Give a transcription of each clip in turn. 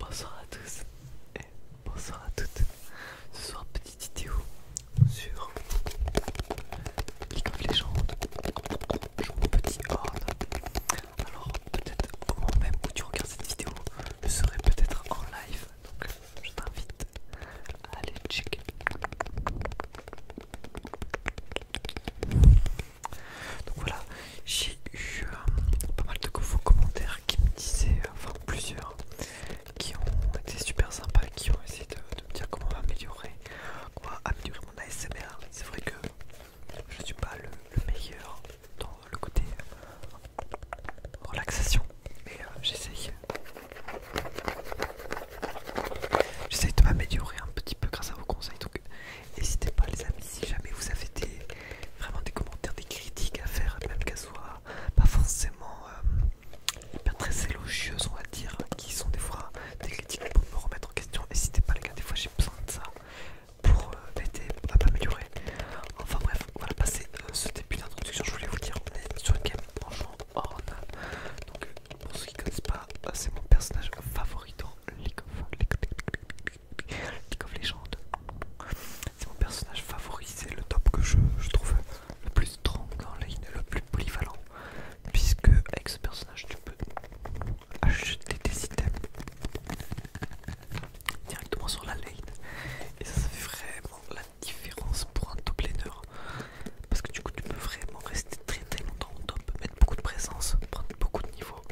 Bonsoir à tous et bonsoir à toutes. Ce soir, petite vidéo sur League of Legends. Je mon petit ordre. Alors, peut-être au moment même où tu regardes cette vidéo, je serai peut-être en live. Donc, je t'invite à aller checker. Donc voilà, j'ai eu euh, pas mal de vos commentaires qui me disaient, euh, enfin plusieurs, qui ont été super sympas, qui ont essayé de, me dire comment améliorer, va améliorer mon ASMR. C'est vrai que je suis pas le, meilleur dans le côté euh, relaxation, mais euh, j'essaye. de m'améliorer un petit peu grâce à vos conseils. Donc N'hésitez pas les amis si jamais vous avez des, vraiment des commentaires, des critiques à faire, même qu'elles soient pas forcément euh, très élogieuses on va dire, qui sont des fois des critiques pour me remettre en question. N'hésitez pas les gars, des fois j'ai besoin de ça pour euh, m'aider à m'améliorer. Enfin bref, voilà va passer euh, ce début d'introduction, je voulais vous dire, on est sur le game Branchant Horn. Donc pour ceux qui ne connaissent pas, c'est mon personnage favori dans League comme of C'est mon personnage favori, c'est le top que je, trouve le plus strong en ligne, le plus polyvalent. Puisque avec ce personnage tu peux acheter des items directement sur la lane. Et ça, fait vraiment la différence pour un top laner. Parce que du coup tu peux vraiment rester très très longtemps au top, mettre beaucoup de présence, prendre beaucoup de niveaux.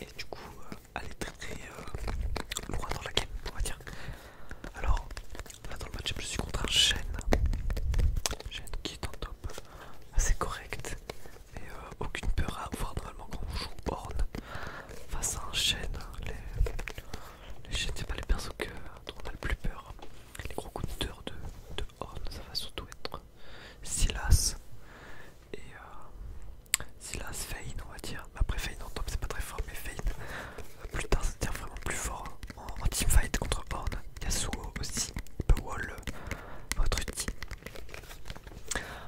Et du coup euh, aller très très euh, loin dans la game, on va dire. Alors, là dans le match, je suis contre un chêne. Chêne qui est en top assez correct. Et euh, aucune peur à avoir normalement quand on joue Horn face à un chêne. Les, les c'est pas les persos que, dont on a le plus peur. Les gros coupeurs de de, de Horn, ça va surtout être Silas et, euh, Silas, Fane, on va dire. Après, Fane en top, c'est pas très fort, mais Fane, plus tard, c'est vraiment plus fort. Hein. En, team teamfight contre Horn, Yasuo aussi, peut wall votre team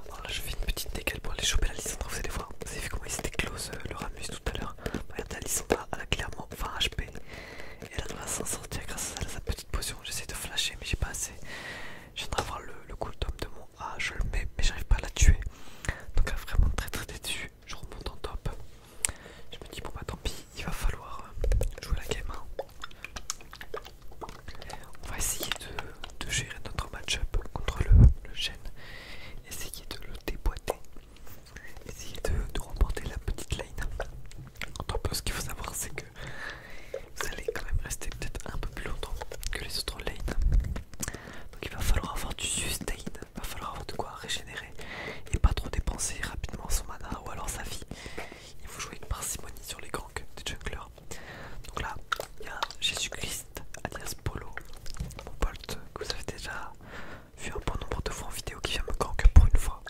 Alors là, je fais une petite décale pour aller choper la Lysandra vous allez voir. Vous avez vu comment ils étaient close euh, le Ramus tout à l'heure. Regardez, la Lissandra, elle a clairement 20 HP. Et elle a sortir grâce à sa petite potion. J'essaie de flasher, mais j'ai pas assez. Je viendrai voir le, le cooldown de mon ah je le mets mais j'arrive pas à la tuer donc elle ah, est vraiment très très déçue. je remonte en top je me dis bon bah tant pis il va falloir euh, jouer la game hein. on va essayer de, gérer notre match-up contre le, le essayer de le déboîter essayer de, remporter la petite lane en top ce qu'il faut savoir c'est que vous allez quand même rester peut-être un peu plus longtemps que les autres lanes. Donc il va falloir avoir du sustain, il va falloir avoir de quoi régénérer et pas trop dépenser rapidement son mana ou alors sa vie. Il faut jouer avec parcimonie sur les ganks des junglers. Donc là, il y a Jésus-Christ alias Polo, mon pote que vous avez déjà vu un bon nombre de fois en vidéo qui vient me gank pour une fois.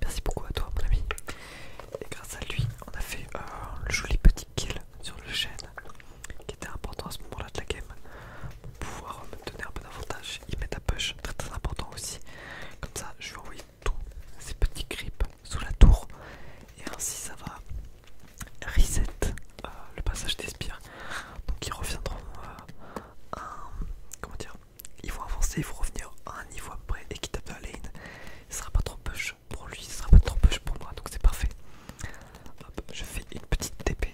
Merci beaucoup à toi mon ami. Et grâce à lui, on a fait un le joli petit kill sur le chêne qui était important à ce moment là de la game pour pouvoir me donner un peu d'avantage ils mettent un push très très important aussi. Comme ça je vais envoyer tous ces petits creeps sous la tour et ainsi ça va reset euh, le passage des spires. Donc ils reviendront à euh, comment dire ils vont avancer, ils vont revenir à un niveau après et près tapent de la lane. Il sera pas trop push pour lui, ce sera pas trop push pour moi, donc c'est parfait. Hop, je fais une petite TP.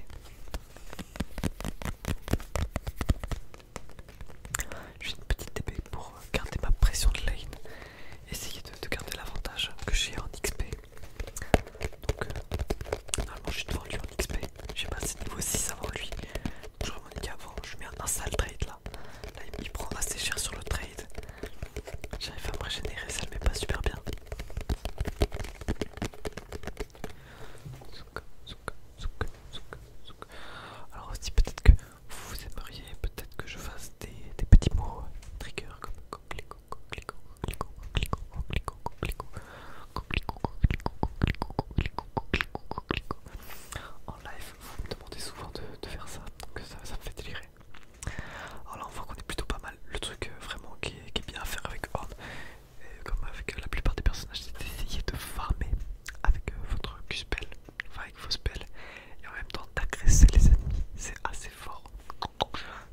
Je fais une petite TP pour garder ma pression de lane, essayer de, garder l'avantage que j'ai en XP. Donc, normalement, je suis devant lui en XP. J'ai passé niveau 6 avant lui. Je remonte avant, je mets un, un sale trade là là. il me prend assez cher sur le trade. J'arrive à me régénérer, ça le met pas super bien. Alors aussi peut-être que vous aimeriez, peut-être que je fasse des, petits mots trigger comme en live, vous me demandez souvent de, faire ça, donc ça, ça me fait délirer. Alors là on voit qu'on est plutôt pas mal. Le truc euh, vraiment qui est, bien à faire avec Horn, comme avec euh, la plupart des personnages, c'est d'essayer de farmer avec euh, votre q avec vos spells, et en même temps d'agresser les ennemis, c'est assez fort.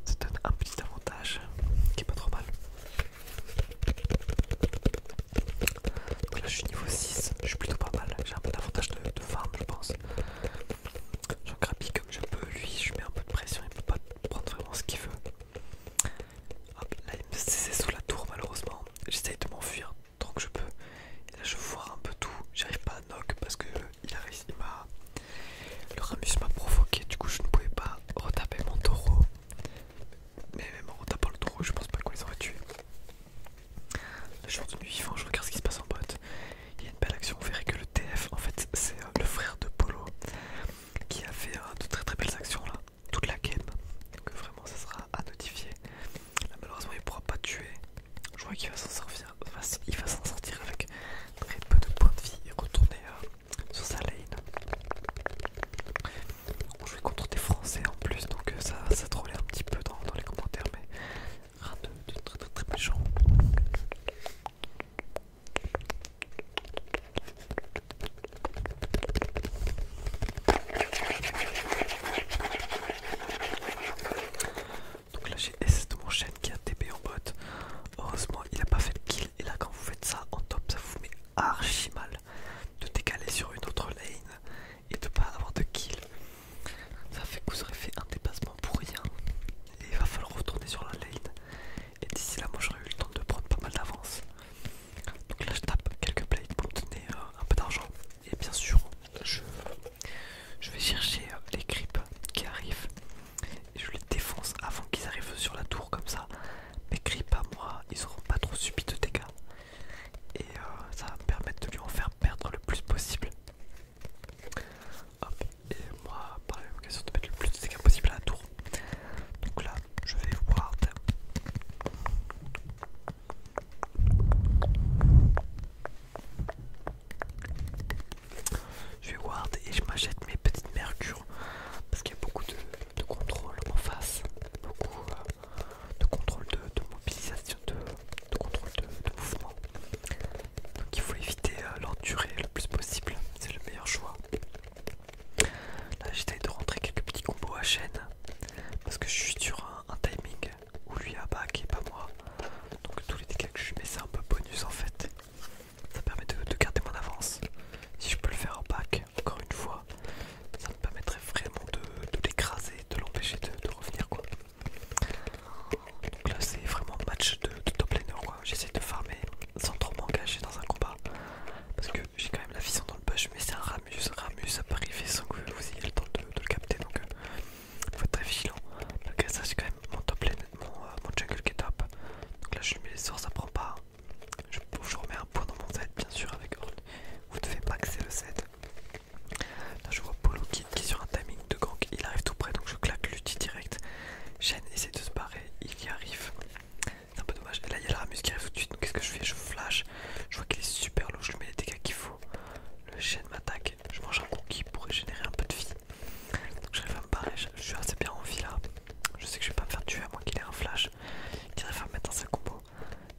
Ça donne un petit avantage qui est pas trop mal. Donc là je suis niveau 6, je suis plutôt pas mal, j'ai un peu d'avantage de, de farm je pense. J'en grappille comme je peux, lui je mets un peu de pression, il peut pas prendre vraiment ce qu'il veut. Hop, là il me c'est sous la tour malheureusement, j'essaye de m'enfuir tant que je peux. là je vois un peu tout, j'arrive pas à knock parce que euh, il m'a... Le Ramus m'a provoqué, du coup je ne pouvais pas retaper mon taureau. Mais même en retapant le taureau, je pense pas qu'on les aurait tués. Le jour de nuit vivant, je regarde ce qui se passe en bot. Il y a une belle action, vous verrez que le TF, en fait, c'est euh, le frère de Polo qui a fait euh, de très très belles actions là, toute la game. Donc euh, vraiment, ça sera à notifier. malheureusement, il pourra pas tuer. Je vois qu'il va s'en sortir, il va s'en sortir avec très peu de points de vie et retourner sur sa lane. On jouait contre des Français en plus, donc ça, ça trollait un petit peu dans, dans les commentaires, mais tu de très très très méchant. Donc là j'ai S de mon chaîne qui a TP en bot. Heureusement il a pas fait de kill et là quand vous faites ça en top ça vous met archi mal de décaler sur une autre lane et de pas avoir de kill. Ça fait que vous aurez fait un dépassement pour rien. Et il va falloir retourner sur la lane. Et d'ici là, moi j'aurais eu le temps de prendre pas mal d'avance. Donc là, je tape quelques blades pour me euh, un peu d'argent. Et bien sûr, je, vais chercher euh, les creeps qui arrivent. Et je les défonce avant qu'ils arrivent sur la tour comme ça. Mes creeps à moi, ils auront pas trop subi de dégâts et euh, ça va me permettre de lui en faire perdre le plus possible. et moi par l'occasion de mettre le plus de dégâts possible à la tour. Donc là, je vais ward. Je vais ward et je m'achète mes petites mercure parce qu'il y a beaucoup de, contrôle en face, beaucoup euh, de contrôle de, mobilisation, de, contrôle de, mouvement. Donc il faut éviter à euh, durée le plus possible, c'est le meilleur choix. Là j'essaye de rentrer quelques petits combos à chaîne parce que je suis sur un, timing où lui a ah back et pas moi. Donc tous les dégâts que je mets c'est un peu bonus en fait. Ça permet de, garder mon avance. Si je peux le faire en back, encore une fois, ça me permettrait vraiment de l'écraser de l'empêcher de, revenir quoi. Donc là c'est vraiment match de, top laner quoi, j'essaie de farmer sans trop m'engager dans un combat parce que j'ai quand même la vision dans le bush mais c'est un Ramus, Ramus peut arriver sans que vous ayez le temps de, le capter donc il euh, faut être très vigilant. Malgré ça c'est quand même mon top lane, mon, euh, mon jungle qui est top. Donc là je lui mets les sorts, ça prend pas. Je, remets un point dans mon Z bien sûr avec vous Vous devez accéder le Z. Là je vois Polo Kid qui est sur un timing de gank, il arrive tout près donc je claque l'ulti direct. Shen essaie de se barrer, il y arrive. C'est un peu dommage. Et là il y a la Ramus qui arrive tout de suite, donc qu'est-ce que je fais Je flash, je vois qu'il est super low, je lui mets les dégâts qu'il faut. Le Shen m'attaque, je mange un conquis pour générer un peu de vie. Donc j'arrive à me barrer, je, suis assez bien en vie là. Je sais que je vais pas me faire tuer à moins qu'il ait un flash. il arrive à me mettre dans sa combo.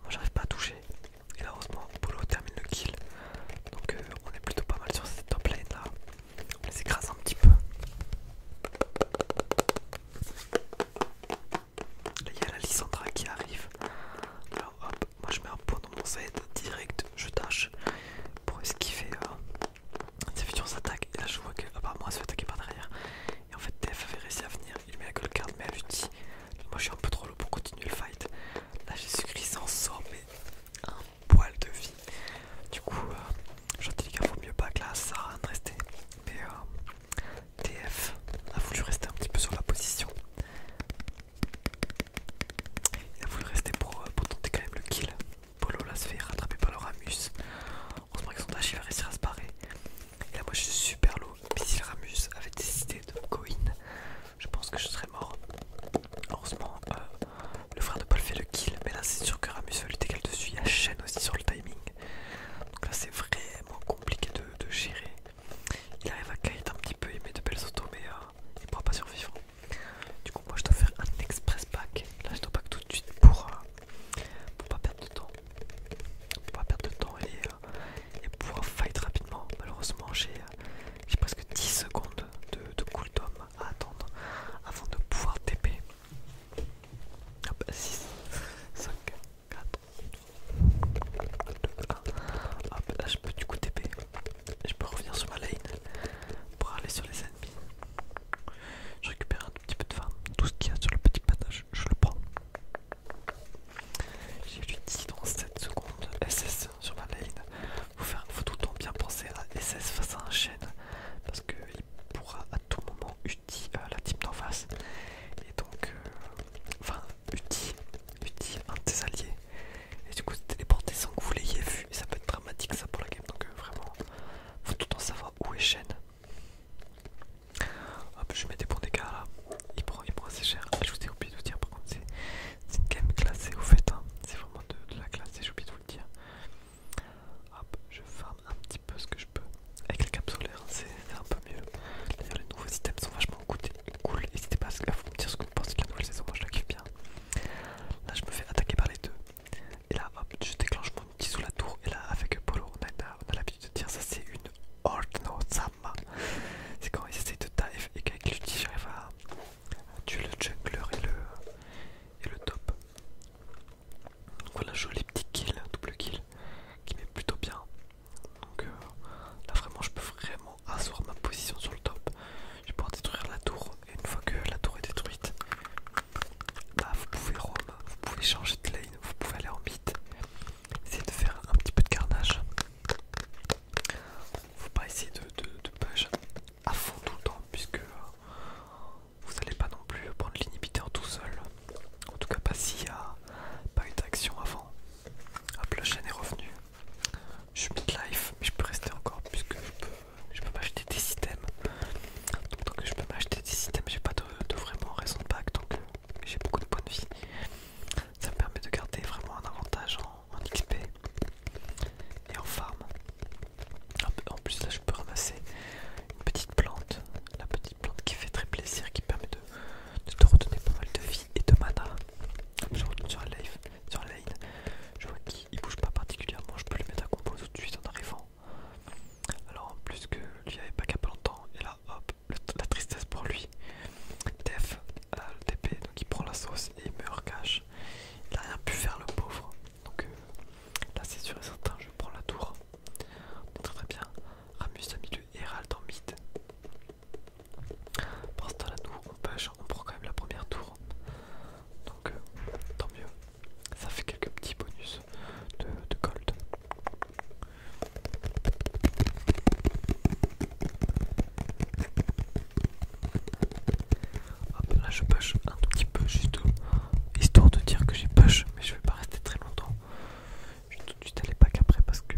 Moi j'arrive pas à toucher. Et là heureusement Polo termine le kill. Donc euh, on est plutôt pas mal sur cette top lane là. On les écrase un petit peu. Là il y a la Lissandra qui arrive. Alors hop, moi je mets un pot dans mon set direct, je tâche pour esquiver euh, ses futurs attaques. Et là je vois que apparemment elle se fait attaquer par derrière. Et en fait TF avait réussi à venir, il met la gold card mais elle l'utile moi je suis un peu trop lourd pour continuer le fight. Là Jésus-Christ en sort mais un poil de vie. Du coup, gentil les gars, vaut mieux pas que là ça reste rester Mais TF a voulu rester un petit peu sur la position. Il a voulu rester euh, pour, tenter quand même le kill. Polo là se fait rattraper par le Ramus. Heureusement qu'ils sont tâchés, il va réussir à se barrer. Et là, moi je suis super low. Mais si Ramus avait décidé de go-in, je pense que je serais mort. Heureusement, euh, le frère de Paul fait le kill. Mais là, c'est sûr que Ramus va lutter qu'elle dessus. Il y a aussi sur le timing. Donc là, c'est vraiment compliqué de, gérer. Il arrive à kite un petit peu, il met de belles autos, mais il euh, il pourra pas survivre. Du coup, moi je dois faire un express pack. Là, je dois pack tout de suite pour, ne euh, pour pas perdre de temps. Pour pas perdre de temps et, euh, et pouvoir fight rapidement. Malheureusement, j'ai euh, presque 10 secondes de, cooldown à attendre avant de pouvoir TP. Hop, 6, 5, 4, 2, 1. Hop, là je peux du coup TP. Je peux revenir sur ma lane pour aller sur les ennemis. Je récupère un petit peu de farm. Tout ce qu'il y a sur le petit panache, je le prends. J'ai lui dans 7 secondes SS sur ma lane. il faire, faut tout le temps bien penser à SS face à un chêne parce qu'il pourra à tout moment uti euh, la team d'en face. Et donc, euh, enfin, uti, un de tes alliés. Et du coup, téléporter sans que vous l'ayez vu. Et ça peut être dramatique ça pour la game. Donc, euh, vraiment, faut tout le temps savoir où est chaîne Hop, je mets des bons dégâts là. Il prend, assez cher. Ah, je vous ai oublié de vous dire, par contre, c'est une game classée au fait. Hein. C'est vraiment de, la classe, j'ai oublié de vous le dire. Hop, je farm un petit peu ce que je peux. Avec les capes hein, c'est un peu mieux. D'ailleurs, les nouveaux items sont vachement cool. N'hésitez pas à me dire ce que vous pensez de la nouvelle saison. Moi, je la kiffe bien. Là, je me fais attaquer par les deux. Et là, hop, je déclenche mon petit sous la tour. Et là, avec Polo, on a, l'habitude de dire ça, c'est une old note ça, c'est quand ils essayent de dive et qu'avec l'outil j'arrive à tuer le jungler et le, top. voilà, joli petit kill, double kill, qui m'est plutôt bien. Donc euh, là vraiment je peux vraiment asseoir ma position sur le top. Je vais pouvoir détruire la tour et une fois que la tour est détruite, bah vous pouvez roam, vous pouvez changer de lane, vous pouvez aller en mid, essayer de faire un petit peu de carnage. Faut pas essayer de, de, à fond tout le temps puisque euh, vous n'allez pas non plus prendre l'inhibiteur tout seul. En tout cas pas s'il n'y a pas eu d'action avant. Hop la chaîne est revenue. Je suis mid-life mais je peux rester encore puisque je peux, m'acheter des systèmes. Donc, tant que je peux m'acheter des systèmes j'ai pas de, vraiment raison de pack. donc euh, j'ai beaucoup de points de vie. Ça me permet de garder vraiment un avantage en, en XP et en farm. En plus là je peux ramasser une petite plante, la petite plante qui fait très plaisir, qui permet de, de te redonner pas mal de vie et de mana. Je retourne sur la, sur lane, je vois qu'il bouge pas particulièrement, je peux le mettre à compos tout de suite en arrivant. Alors en plus que lui avait pas qu'à pas longtemps et là hop la tristesse pour lui. Def a le TP donc il prend la sauce et il meurt cache. Il a rien pu faire le pauvre. Donc euh, là c'est sûr et certain je prends la tour. très très bien. Ramus a mis le Hérald en mid. Pour ce temps là nous on push, on prend quand même la première tour. Donc euh, tant mieux. Ça fait quelques petits bonus de, de gold. Hop là je push un tout petit peu juste histoire de dire que j'ai push mais je vais pas rester très longtemps. Je vais tout de suite aller pack après parce que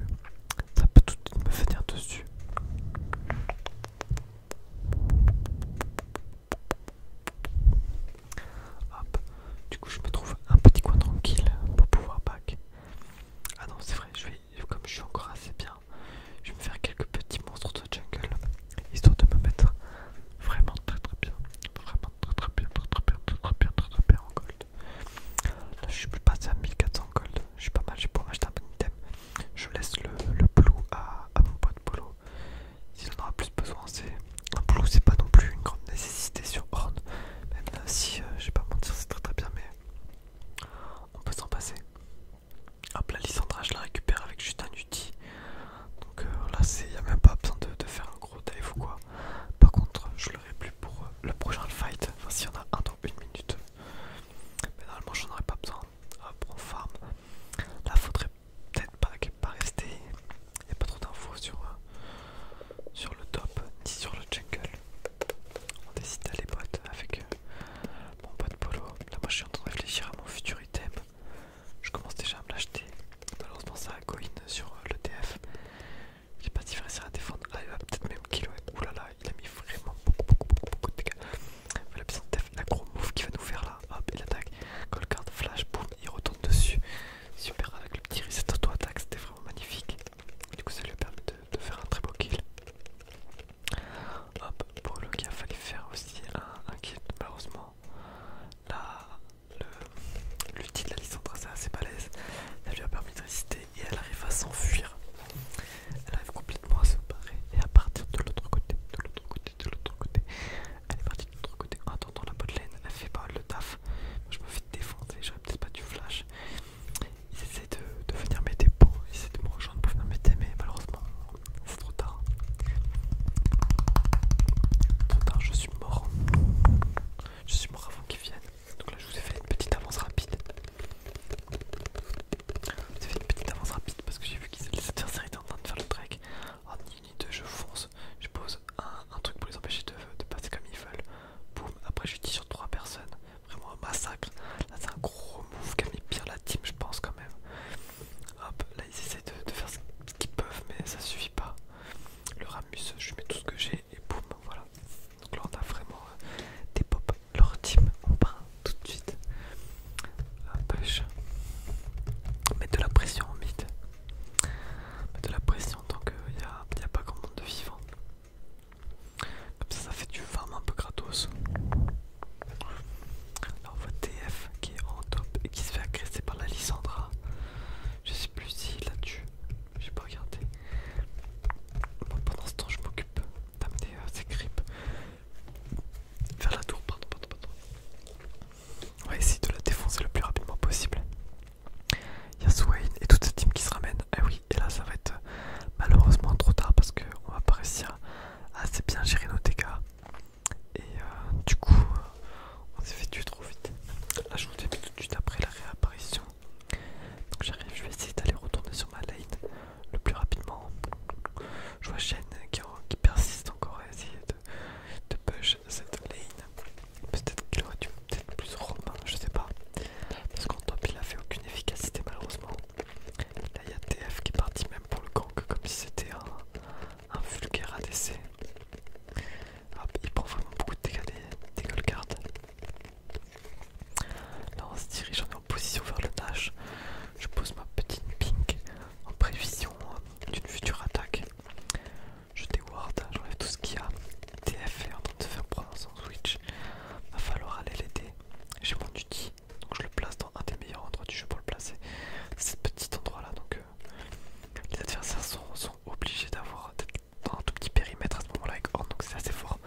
ça peut tout de suite me venir dessus. Hop, du coup, je me trouve un petit coin tranquille pour pouvoir back. Ah non, c'est vrai, comme je suis encore assez bien, je vais me faire quelques petits monstres de jungle histoire de me mettre vraiment très très bien. Vraiment très très bien, très très bien, très très bien, très bien en gold. je suis passé à 1400 gold, je suis pas mal, je vais pouvoir acheter un bon item. Je laisse le, le blue à, à mon pote Polo. S'il en aura plus besoin, c'est un blue c'est pas non plus une grande nécessité sur Horn, même si euh, je vais pas mentir c'est très très bien mais on peut s'en passer. Hop la licentrage je la récupère avec juste un outil. Donc euh, là c'est y a même pas besoin de, faire un gros dive ou quoi. Par contre je l'aurai plus pour euh, le prochain fight, enfin on y a un dans une minute. Mais normalement j'en aurais pas besoin. pour on farm. Là faudrait peut-être pas, pas rester il n'y a pas trop d'infos euh, sur, le top ni sur le jungle. On décide d'aller bot avec euh, mon pote Polo. Là, moi je suis en train de réfléchir à mon futur item. Je commence déjà à me l'acheter. Malheureusement, ça a coin sur euh, le TF. Je pas de différence à défendre. Ah, il va peut-être même kilo Ouh là il a mis vraiment beaucoup, beaucoup, de dégâts. La petite TF, la gros move qui va nous faire là. Hop, il attaque. call card, flash, boum, il retourne dessus. Super avec le petit reset auto-attaque, c'était vraiment magnifique. Du coup, ça lui a permis de faire un très beau kill. Hop, pour le a fallu faire aussi un, kill. Malheureusement, l'ulti de la licence c'est assez balèze. Ça lui a permis de résister et elle arrive à s'enfuir. Elle arrive complètement à se barrer et à partir de l'autre côté, de l'autre côté, de l'autre côté. Elle côté. Ah, attends, la botlane, elle fait pas le taf. je me fais défendre, j'aurais peut-être pas du flash. Ils essaient de, venir m'aider, ils de me rejoindre pour venir m'aider, mais malheureusement, c'est trop tard. Trop tard, je suis mort. Je suis mort avant qu'ils viennent. Donc là, je vous ai fait une petite avance rapide. Je vous ai fait une petite avance rapide parce que j'ai vu qu'ils étaient en train de faire le trek. Oh, je fonce, je pose un, truc pour les empêcher de, passer comme ils veulent. Boum, après je dis sur trois personnes. Vraiment un massacre. Là c'est un gros move qui a mis pire la team je pense quand même. Hop, là ils essaient de, faire ce qu'ils peuvent mais ça suffit pas. Le Ramus, je mets tout ce que j'ai et boum, voilà. Donc là on a vraiment euh, des pop. Leur team, on part tout de suite. Hop, Mettre de la pression en mid de la pression tant qu'il n'y a, pas grand monde de vivant. Comme ça, ça fait du farm un peu gratos. Alors, votre TF qui est en top et qui se fait agresser par la Lissandra. Je sais plus si la tue, j'ai pas regardé. pendant ce temps, je m'occupe d'amener ses ces creeps vers la tour. Pardon, pardon, On va essayer de la défoncer le plus rapidement possible. Il y Swain et toute cette team qui se ramène. ah eh oui, et là ça va être euh, malheureusement trop tard parce qu'on va pas réussir à assez bien gérer nos dégâts. Et euh, du coup, euh, on s'est fait tuer trop vite. Là je vous ai tout de suite après la réapparition. Donc j'arrive, je vais essayer d'aller retourner sur ma lane le plus rapidement. Je vois Shen qui, persiste encore à essayer de, de push cette lane. Peut-être qu'il aurait dû être plus romain, je sais pas. Parce qu'en top il a fait aucune efficacité malheureusement. Là il y a TF qui est parti même pour le gank comme si c'était un, vulgaire ADC. Hop, il prend vraiment beaucoup de dégâts des, gold cards. Là on se dirige, en position vers le dash. Je pose ma petite pink en prévision hein, d'une future attaque. Je déwarde, j'enlève tout ce qu'il y a. TF est en train de se faire prendre un switch. Va falloir aller l'aider. J'ai mon duty, donc je le place dans un des meilleurs endroits du jeu pour le placer. C'est ce petit endroit là, donc euh, les adversaires sont, obligés d'avoir dans un tout petit périmètre à ce moment-là avec Horn, donc c'est assez fort.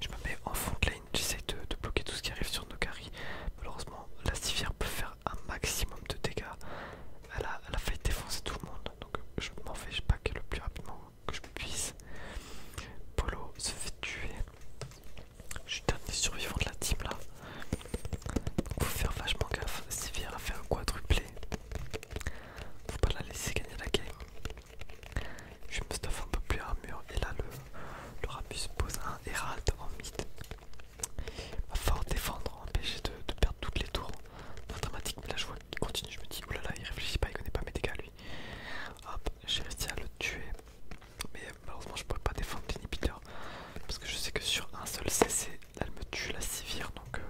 Je me mets en de lane, j'essaye de, bloquer tout ce qui arrive sur Nocari. Malheureusement, la civière peut faire un maximum de dégâts elle a, failli défoncer tout le monde, donc je m'en vais, pas que le plus rapidement que je puisse. Polo se fait tuer. Je suis dernier survivant de la team là. Faut faire vachement gaffe. Sylvia a fait un quadruplé. Faut pas la laisser gagner la game. Je me stuff un peu plus mur, Et là, le, le pose un Herald en mid va fort défendre, empêcher de, perdre toutes les tours. Pas dramatique, mais là je vois qu'il continue, je me dis, oulala, oh il réfléchit pas, il connaît pas mes dégâts lui. Hop, j'ai réussi à le tuer, mais malheureusement je pourrais pas défendre l'inhibiteur, parce que je sais que sur un seul CC, elle me tue la civire, donc euh,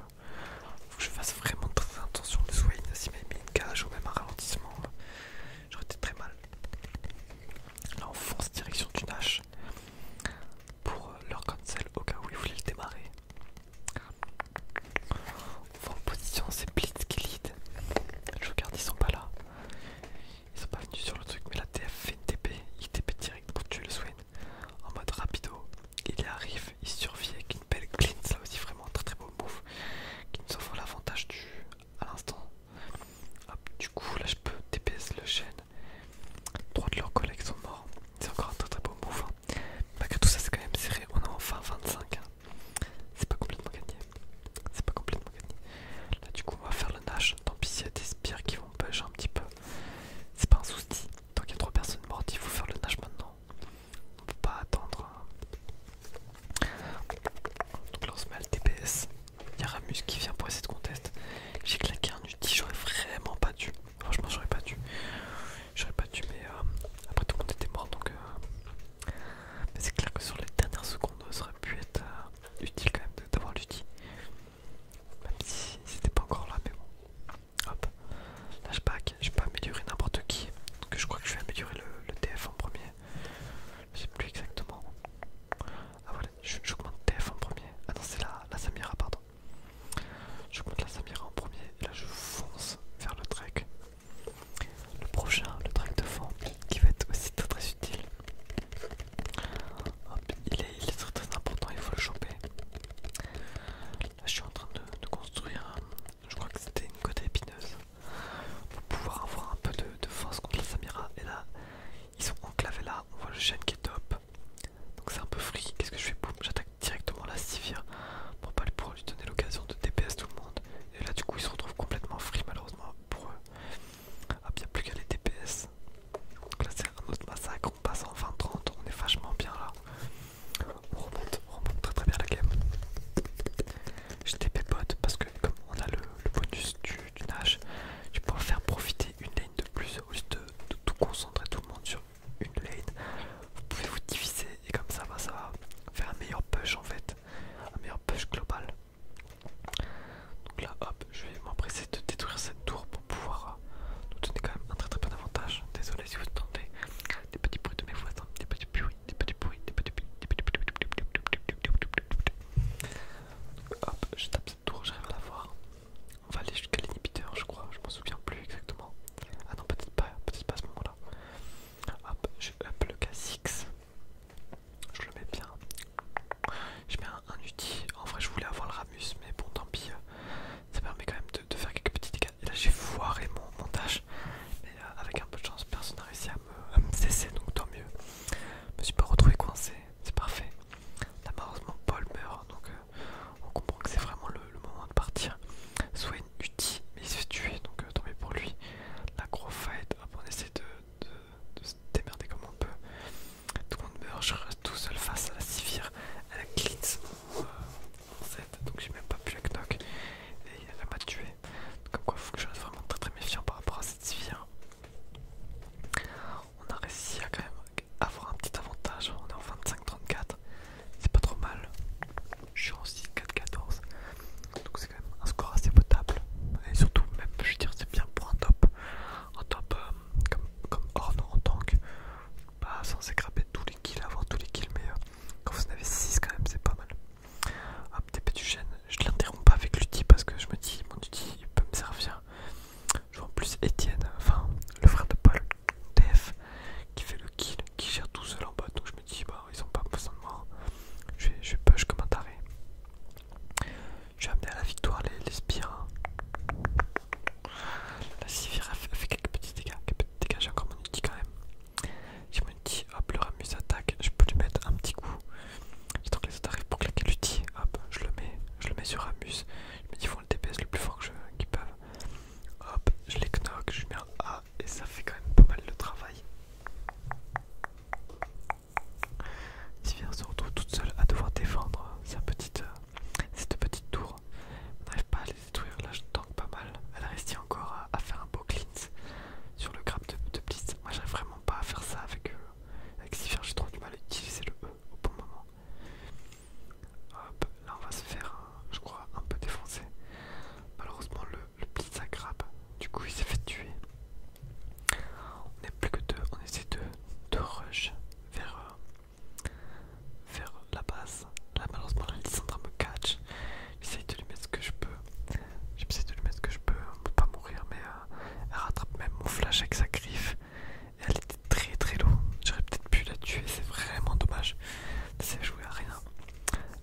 faut que je fasse vraiment très attention de soigner si m'a mis une cage ou même un ralentissement, euh, j'aurais été très mal. Là on fonce direction du Nash pour euh, leur cancel au cas où ils voulaient le démarrer. en position, c'est Blitz qui lead. Je regarde, ils sont pas là. Ils sont pas venus sur le truc, mais la TF fait une TP. Il TP direct pour tuer le Swain en mode rapido. Il arrive, il survit avec une belle clean. Ça aussi, vraiment très très beau move qui nous offre l'avantage du à l'instant. du coup, là je peux TPS le chêne Trois de leurs collègues sont morts. C'est encore un très très beau move. Hein. Malgré tout ça, c'est quand même serré. On a enfin 25. C'est pas complètement gagné. C'est pas complètement gagné. Là, du coup, on va faire le nage. Tant pis il y a des spires qui vont pêcher un petit peu. C'est pas un souci. Tant qu'il y a trois personnes mortes, il faut faire le nage maintenant. On peut pas attendre. Hein. Donc là, on se met à le TPS. Il y a Ramus qui vient pour essayer de contester. J'ai claqué un UTI, j'aurais vraiment pas dû. Franchement, j'aurais pas dû. J'aurais pas dû, mais euh, après tout le monde était mort donc. Euh, mais c'est clair que sur les dernières secondes, ça aurait pu être euh, utile quand même d'avoir l'UTI, Même si c'était pas encore là, mais bon. Hop. Là, je pack. j'ai pas améliorer n'importe qui. Donc, je crois que je vais améliorer le, le TF en premier. Je sais plus exactement. Ah voilà, j'augmente TF en premier. Ah non, c'est la, Samira, pardon. J'augmente la Samira en premier et là je fonce vers le trek. Le prochain, le trek de fond, qui va être aussi très très utile. Hop, il est, très très important, il faut le choper. Là je suis en train de, construire, je crois que c'était une côte épineuse. Pour pouvoir avoir un peu de, force contre la Samira. Et là, ils sont enclavés là, on voit le chien qui est top. Donc c'est un peu free. Qu'est-ce que je fais j'attaque directement la Sivir. Bon, pas pour lui donner l'occasion de DPS tout le monde. Et là, du coup, ils se retrouvent complètement free, malheureusement pour eux. Ah, bien plus qu'à les DPS. Donc là, c'est un autre massacre. On passe en 20-30. On est vachement bien là. On remonte, on très très bien la game. Je TP bot parce que, comme on a le bonus du tu peux tu pourras faire profiter une lane de plus au lieu de, tout concentrer tout le monde sur une lane. Vous pouvez vous diviser et comme ça, ça va faire un meilleur push en fait, un meilleur push global. Donc là, hop, je vais m'empresser de détruire cette tour pour pouvoir nous donner quand même un très très bon avantage. Désolé si vous entendez des petits bruits de mes voisins, des petits bruits, des petits bruits, des petits bruits, des petits bruits. Hop, je tape cette tour, des à voir. On va aller jusqu'à l'inhibiteur, je crois. Je m'en souviens plus exactement. Ah non, peut-être pas, peut-être pas à ce moment-là. Hop, je up le K6. Je le mets bien. Je mets un, outil. En vrai, je voulais avoir le Ramus, mais bon, tant pis. Ça permet quand même de, faire quelques petits dégâts. Et là, j'ai foiré mon montage. Mais euh, avec un peu de chance, personne n'a réussi à me, à me cesser, donc tant mieux. Je me suis pas retrouvé coincé, c'est parfait. Là, malheureusement, Paul meurt, hein, donc euh, on comprend que c'est vraiment le, moment de partir. Swain utile, mais il se fait tuer, donc euh, tombé pour lui. La gros fight, hop, on essaie de, se démerder comme on peut. Tout le monde meurt, je reste tout seul face à la Sivir, à la Glitz je euh, donc j'ai même pas pu la knock. Et elle m'a tué. Comme quoi, il faut que je reste vraiment très très méfiant par rapport à cette Sivir on a réussi à quand même avoir un petit avantage. On est en 25-34, c'est pas trop mal. Je suis en 6-4-14, donc c'est quand même un score assez potable. Et surtout, même, je veux dire, c'est bien pour un top. Un top euh, comme, comme Horn en tank, pas bah, sans s'écraper tous les kills, avoir tous les kills, mais euh, quand vous en avez 6 quand même, c'est pas mal. Hop, TP du gène, je l'interromps pas avec l'outil parce que je me dis, mon outil il peut me servir je vois en plus Étienne, enfin le frère de Paul, TF, qui fait le kill, qui gère tout seul en bas. Donc je me dis, bah ils ont pas besoin de moi. Je vais, je vais push comme un taré. Je vais amener à la victoire les, les spires. La Sivir fait, quelques petits dégâts. Quelques dégâts, j'ai encore mon outil quand même. Je me dis hop, le Ramus attaque. Je peux lui mettre un petit coup. J'attends que les autres arrivent pour claquer l'utile, Hop, je le mets, je le mets sur Amus, Je me dis, ils font le DPS le plus fort qu'ils peuvent. Hop, je les knock, je mets un A et ça fait quand même pas mal de travail. Sivir se retrouve toute seule à devoir défendre sa petite, euh, cette petite tour. On n'arrive pas à les détruire, là je tank pas mal. Elle a reste encore à, faire un beau cleanse sur le grab de, de Blitz. Moi j'arrive vraiment pas à faire ça avec eux. Avec faire j'ai trop du mal à utiliser le E au bon moment. Hop, là on va se faire, je crois, un peu défoncer. Malheureusement, le, le blitz du coup il s'est fait tuer. On est plus que deux, on essaie de, rush vers, euh, vers la base. Là, malheureusement, la me catch. J'essaie de lui mettre ce que je peux. J'essaie de lui mettre ce que je peux, hein, pas mourir, mais euh, elle rattrape même mon flash avec sa griffe. Et elle était très très lourde, J'aurais peut-être pu la tuer, c'est vraiment dommage. C'est joué à rien.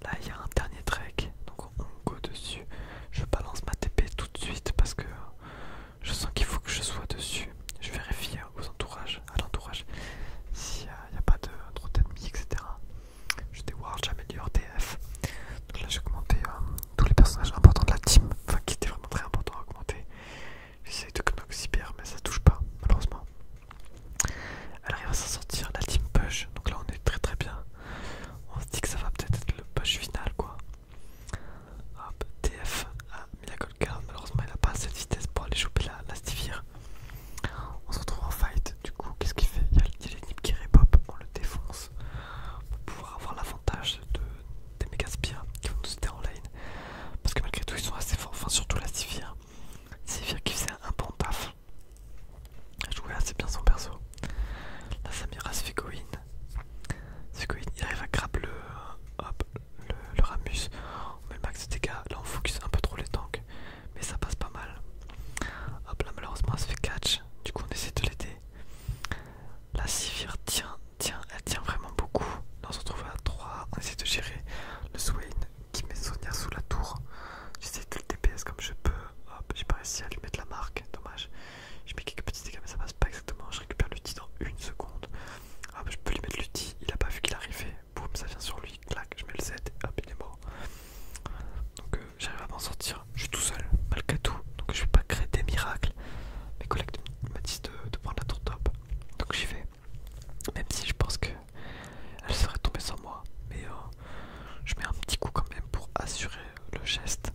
Là, il y a un dernier trek, donc on go dessus. Je balance ma TP tout de suite parce que je sens qu'il faut que je sois dessus. Je vérifie hein, aux entourages, à l'entourage s'il n'y a, pas de trop d'ennemis, etc. Je déward, j'améliore DF là j'ai augmenté euh, tous les personnages importants de la team, enfin qui étaient vraiment très importants à augmenter. J'essaye de knock mais ça touche pas malheureusement. Elle arrive à s'en sortir, la team push, donc là on est très très bien. On se dit que ça va peut-être être le push final quoi. Hop, TF à Miracle Girl, malheureusement il a pas assez de vitesse pour aller choper la, Stivir. On se retrouve en fight, du coup qu'est-ce qu'il fait Il y a, le Nip qui repop, on le défonce pour pouvoir avoir l'avantage de, des méga qui vont nous aider en lane parce que malgré tout ils sont assez forts, enfin surtout la Sivir Sivir qui faisait un bon paf elle jouait assez bien son perso la Samira go in il arrive à grab le, le, Ramus on met le max de dégâts, là on focus un peu trop les tanks mais ça passe pas mal hop là malheureusement elle se fait catch du coup on essaie de l'aider la Sivir tient, tient, elle tient vraiment beaucoup. on se retrouve à 3, on essaie de gérer le Swain qui met Sonia sous la tour. J'essaie de le DPS comme je peux. Hop, j'ai pas réussi à lui mettre la marque, dommage. Je mets quelques petits dégâts mais ça passe pas exactement. Je récupère titre dans une seconde. Hop, je peux lui mettre l'outil, il a pas vu qu'il arrivait. Boum, ça vient sur lui, clac, je mets le Z, hop, il est mort. Donc euh, j'arrive à m'en sortir. Je suis tout seul, malgré tout, donc je vais pas créer des miracles. Mes collègues me disent de, prendre la tour top, donc j'y vais. Même si je pense que elle serait tombée sans moi, mais euh, je mets un petit coup quand même pour assurer le geste.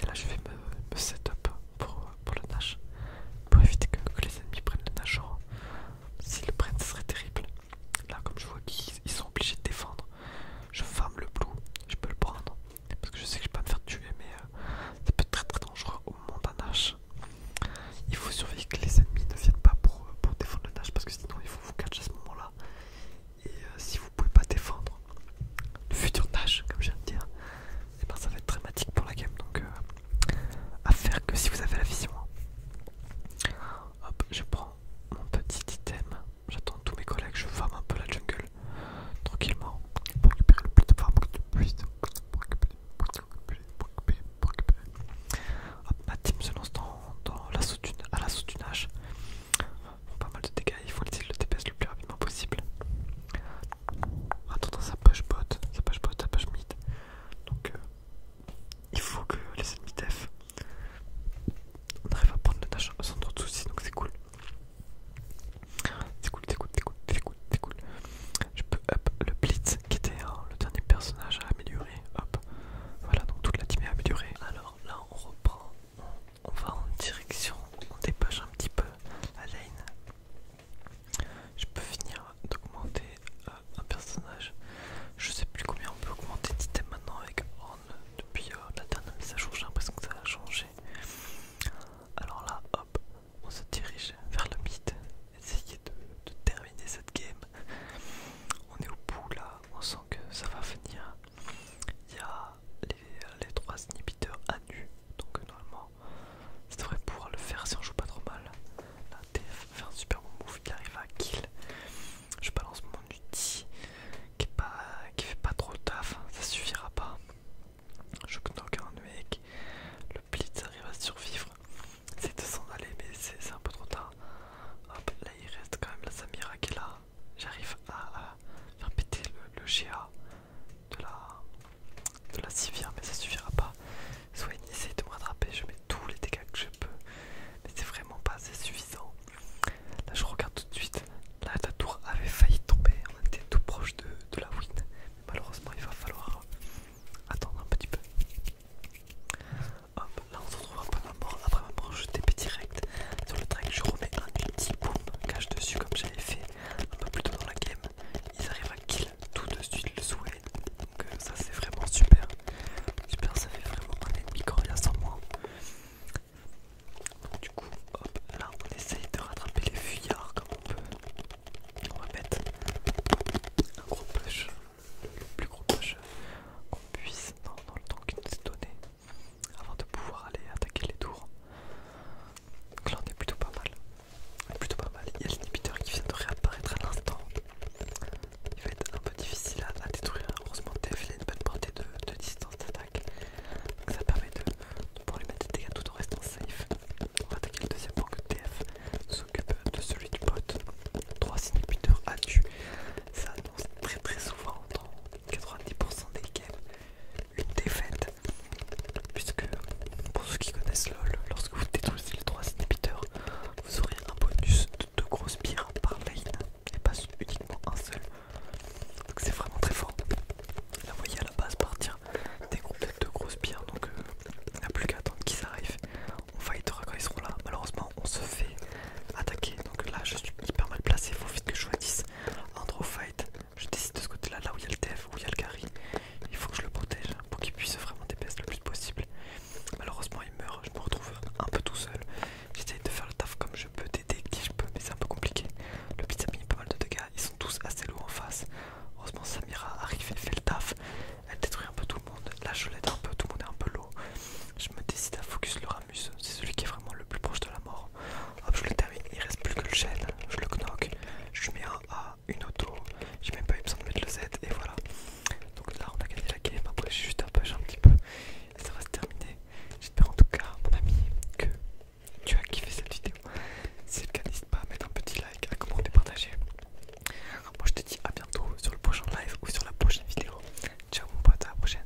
Et là, je vais me, set up pour, pour le nage. pour éviter que, les ennemis prennent le haut. S'ils le prennent, ce serait terrible. Là, comme je vois qu'ils sont obligés de défendre, je ferme le blue, je peux le prendre parce que je sais que je vais pas me faire tuer mais c'est euh, ça peut être très très dangereux au moment d'un Nash. Il faut surveiller que les ennemis ne viennent pas pour, euh, défendre le Nash parce que sinon il faut vous catch à ce moment-là. Et euh, si vous pouvez pas défendre le futur Nash comme je viens de dire, eh ben, ça va être dramatique pour la game donc à faire que si vous avez la vision. Hein. Hop, je prends mon petit item. J'attends tous mes collègues, je forme un peu la jungle tranquillement pour récupérer le plus de farm que tu puisses. récupérer, pour récupérer, Hop, ma team se lance dans, la sautune, à la sautunage. pas mal de dégâts, il faut le TPS le plus rapidement possible. Attends, ça push bot, Sa push bot, ça push mid. Donc euh, il faut que les ennemis def on arrive à prendre le tâche sans trop de soucis, donc c'est cool. C'est cool, c'est cool, c'est cool, c'est cool, c'est cool. Je peux hop le Blitz qui était hein, le dernier personnage à améliorer. Hop, voilà, donc toute la team est améliorée. Alors là, on reprend, on, va en direction, on dépêche un petit peu la lane. Je peux finir d'augmenter euh, un personnage. Je sais plus combien on peut augmenter d'items maintenant avec depuis euh, la dernière mise à j'ai l'impression que ça a changé. Alors là, hop, on se dirige vers le mythe, essayer de, terminer cette game. On est au bout là, on sent que ça va venir. Il y a les, trois inhibiteurs à nu, donc normalement, ça devrait pouvoir le faire si on joue pas trop mal. La TF fait un super bon move, il arrive à kill je balance mon outil qui, fait pas trop taf, ça suffira pas. Je knock un mec, le blitz arrive à survivre. C'est de s'en aller, mais c'est un peu trop tard. Hop, là il reste quand même la Samira qui est là. J'arrive à, faire péter le, GA de la, de civière, mais ça suffira pas. Soigne essaye de me rattraper, je mets tous les dégâts que je peux, mais c'est vraiment pas assez suffisant. Là je regarde tout de suite. Là la tour avait failli tomber. On était tout proche de, la win. malheureusement il va falloir attendre un petit peu. Hop, là on se retrouve après ma mort. Après ma mort je TP direct sur le track. Je remets un petit boom cache dessus comme j'avais fait un peu plus tôt dans la game. Ils arrivent à kill tout de suite le souhait. Donc euh, ça c'est vraiment super. Super ça fait vraiment un ennemi coréen sans moi. Du coup, hop, là on essaye de rattraper les fuyards comme on peut. On va mettre un gros push, le plus gros push qu'on puisse dans, le temps qui nous est donné avant de pouvoir aller attaquer les tours. Donc là on est plutôt pas mal. On est plutôt pas mal. Il y a l'inhibiteur qui vient de réapparaître à l'instant il va être un peu difficile à, détruire. Heureusement, TF il a une bonne portée de, distance d'attaque, donc ça permet de, pouvoir lui mettre des dégâts tout en restant safe. On va attaquer le deuxième point que TF s'occupe de celui du pote. 3 inhibiteurs à tu. Ça annonce très très souvent dans 90% des games une défaite. Puisque pour ceux qui connaissent LOL, lorsque vous détruisez les 3 inhibiteurs, vous aurez un bonus de 2 grosses pierres par lane et pas uniquement un seul. Donc c'est vraiment très fort. Là vous voyez à la base partir des groupes de grosses pierres, donc on euh, il a plus qu'à attendre qu'ils arrivent. On fightera quand ils seront là. Malheureusement on se fait attaquer, donc là je suis hyper mal placé, il faut vite que je choisisse un draw fight. Je décide de ce côté-là, là où il y a le Dev, où il y a le Gary. Il faut que je le protège pour qu'il puisse vraiment dépasser le plus possible. Malheureusement il meurt, je me retrouve un peu tout seul. J'essaye de faire le taf comme je peux, t'aider qui je peux, mais c'est un peu compliqué. Le pizza a mis pas mal de dégâts, ils sont tous assez lourds en face. Heureusement, Samira arrive et fait le taf. Elle détruit un peu tout le monde. Là, je l'aide un peu, tout le monde est un peu lourd. Je me décide à focus le Ramus, c'est celui qui est vraiment le plus proche de la mort. Hop, je le termine, il reste plus que le gel. Je le knock, je mets un A, une auto. J'ai même pas eu besoin de mettre le Z, et voilà. Donc là, on a gagné la game. Après, j'ai juste un peu, un petit peu ça va se terminer. J'espère en tout cas, mon ami, que tu as kiffé cette vidéo. Si c'est le cas, n'hésite pas à mettre un petit like, à commenter, partager. Moi je te dis à bientôt sur le prochain live ou sur la prochaine vidéo. Ciao mon pote, à la prochaine.